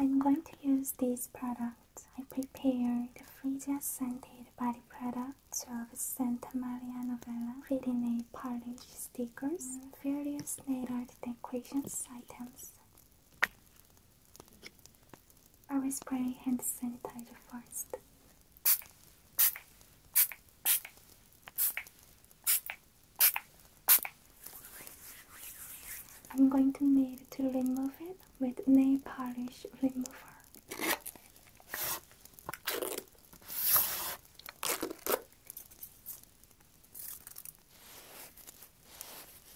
I'm going to use this product. I prepare the freezer scented body products of Santa Maria Novella, reading a polish stickers, various nail art decorations items. Always spray hand sanitizer first. I'm going to need to remove it with nail polish remover.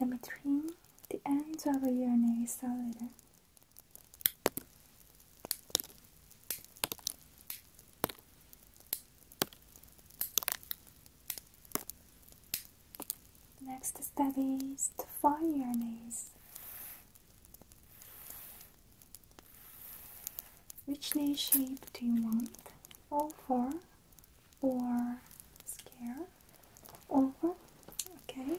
Let me trim the ends of your nails a little. Next step is to find your knees. Which knee shape do you want? All four or scare? Over? Okay.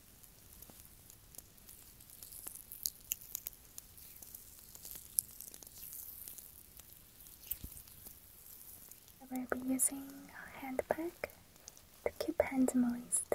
I will be using a handbag to keep hands moist.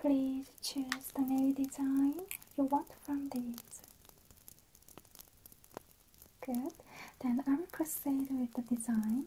Please choose the new design you want from these. Good. Then I will proceed with the design.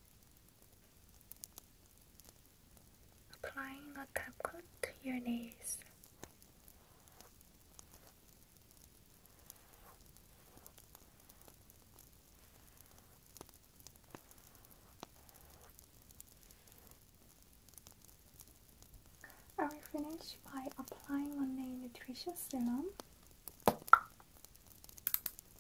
Applying a top coat to your nails. I will finish by applying on the nutrition serum.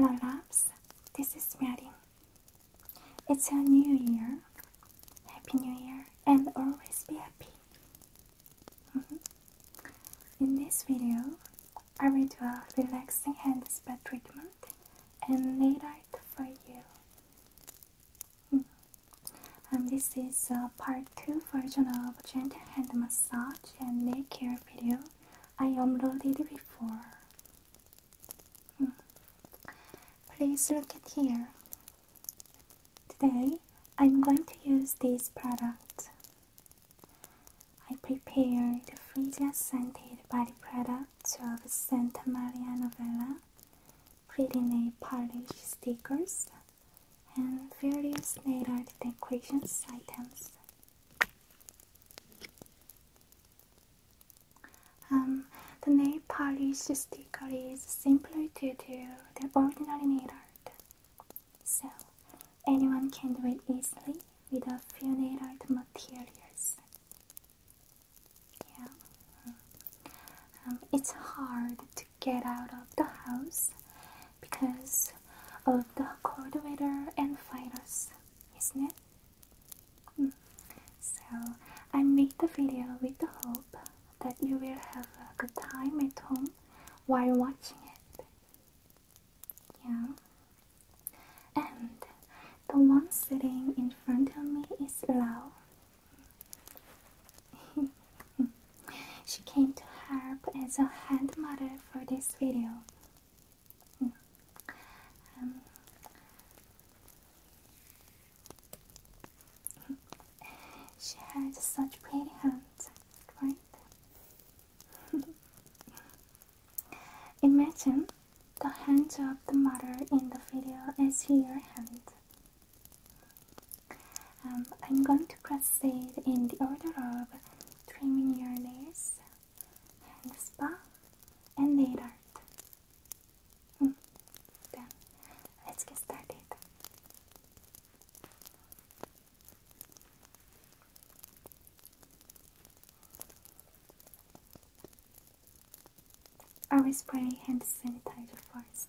Hello loves, this is Maddie. It's a new year. Happy New Year and always be happy. Mm-hmm. In this video, I will do a relaxing hand spa treatment and nail art for you. Mm-hmm. And this is a uh, part 2 version of gentle hand massage and nail care video I uploaded before. Mm-hmm. Please look at here. Today I'm going to use this product. I prepared the freesia scented body product, of Santa Maria Novella, pretty nail polish stickers, and various nail art decorations items. Um, the nail polish stickers bakery is simpler to do than ordinary needle, art, so anyone can do it easily with a few needle materials. Yeah. Um, it's hard to get out of the house because of the cold weather and virus, isn't it? Hmm. So I made the video with the hope that you will have a good time at home while watching it. Yeah. And the one sitting in front of me is Lau. she came to help as a hand model for this video. Hmm. Um, she has such pretty hands, right? Imagine the hands of the mother in the video as your hand. I'm going to proceed in the order of trimming your nails, hand spa, and later. Hmm. let's get started. Always spray hand sanitizer first.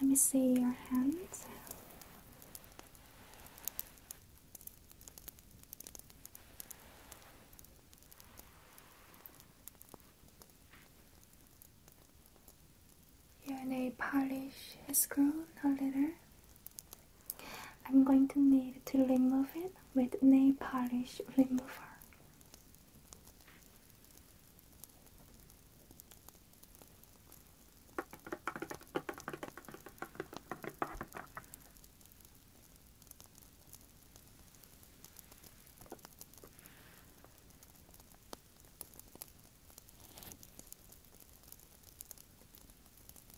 Let me see your hand. Your nail polish has grown a little. I'm going to need to remove it with nail polish remover.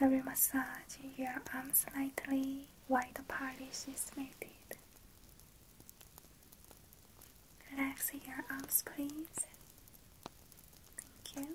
I will massage your arms slightly while the polish is melted. Relax your arms, please. Thank you.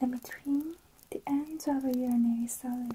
Let me trim the ends of the urinary solid.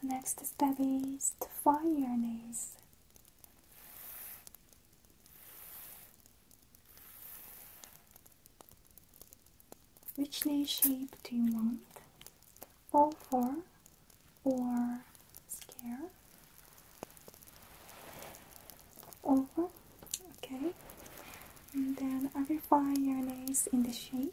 The next step is to fire your knees. Which knee shape do you want? All four or square? over, uh-huh. okay, and then I refine your nails in the shape.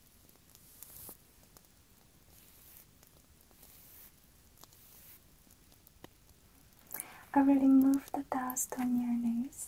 I really moved the dust on your nose.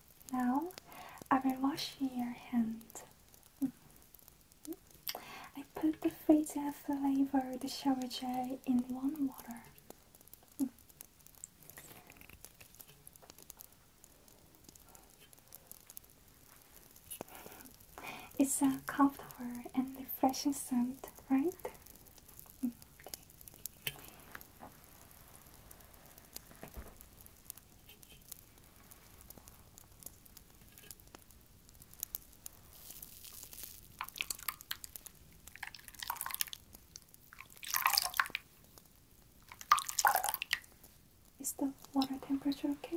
Now I will wash your hand. I put the Frita flavored shower gel in warm water. It's a comfortable and refreshing scent, right? Is the water temperature okay?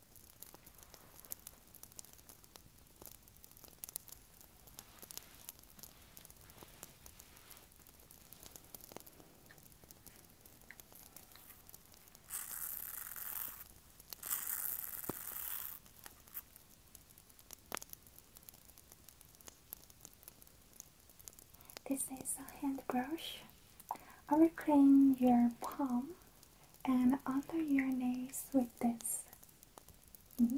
This is a hand brush. I will clean your palm and under your nose with this. Mm-hmm.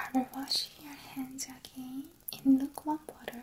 I will washing your hands again in lukewarm water.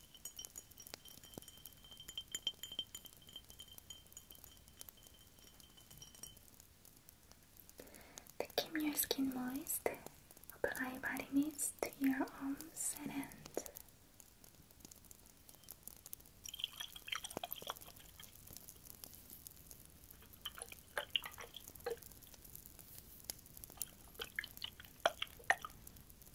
To keep your skin moist, apply body mist to your arms and hands.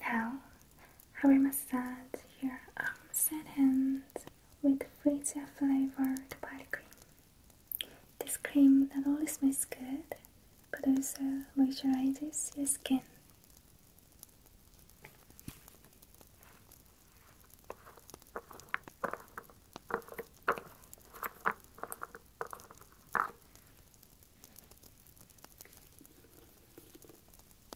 Now I will massage your arms and hands with freezer Flavor body cream. This cream not only smells good but also moisturizes your skin.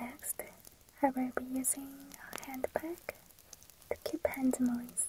Next, I will be using a handbag to keep hands moist.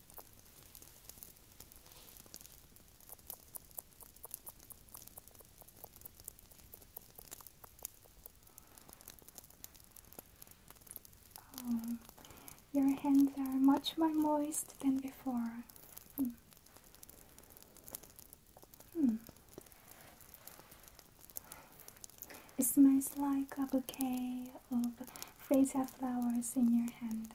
Um, your hands are much more moist than before. Hmm. Hmm. It smells like a bouquet of freesia flowers in your hand.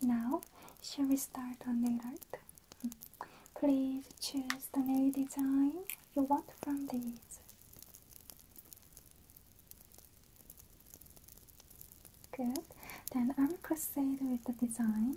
Now, shall we start on the art? Please choose the nail design you want from these. Good. Then I will proceed with the design.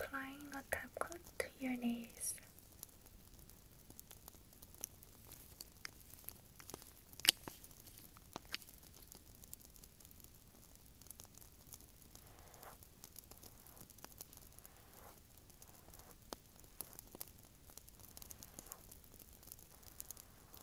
Applying a top coat to your nails.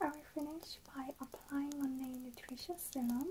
I will finish by applying on the nutritious serum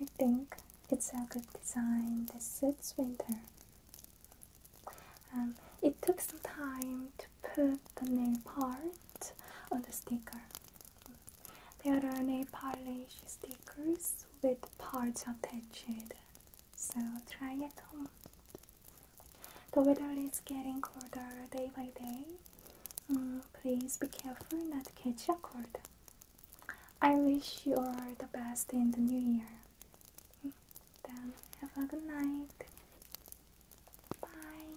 I think it's a good design that suits winter. Um, it took some time to put the nail part on the sticker. There are nail polish stickers with parts attached, so try at home. The weather is getting colder day by day. Mm, please be careful not to catch a cold. I wish you all the best in the new year. Then have a good night. Bye.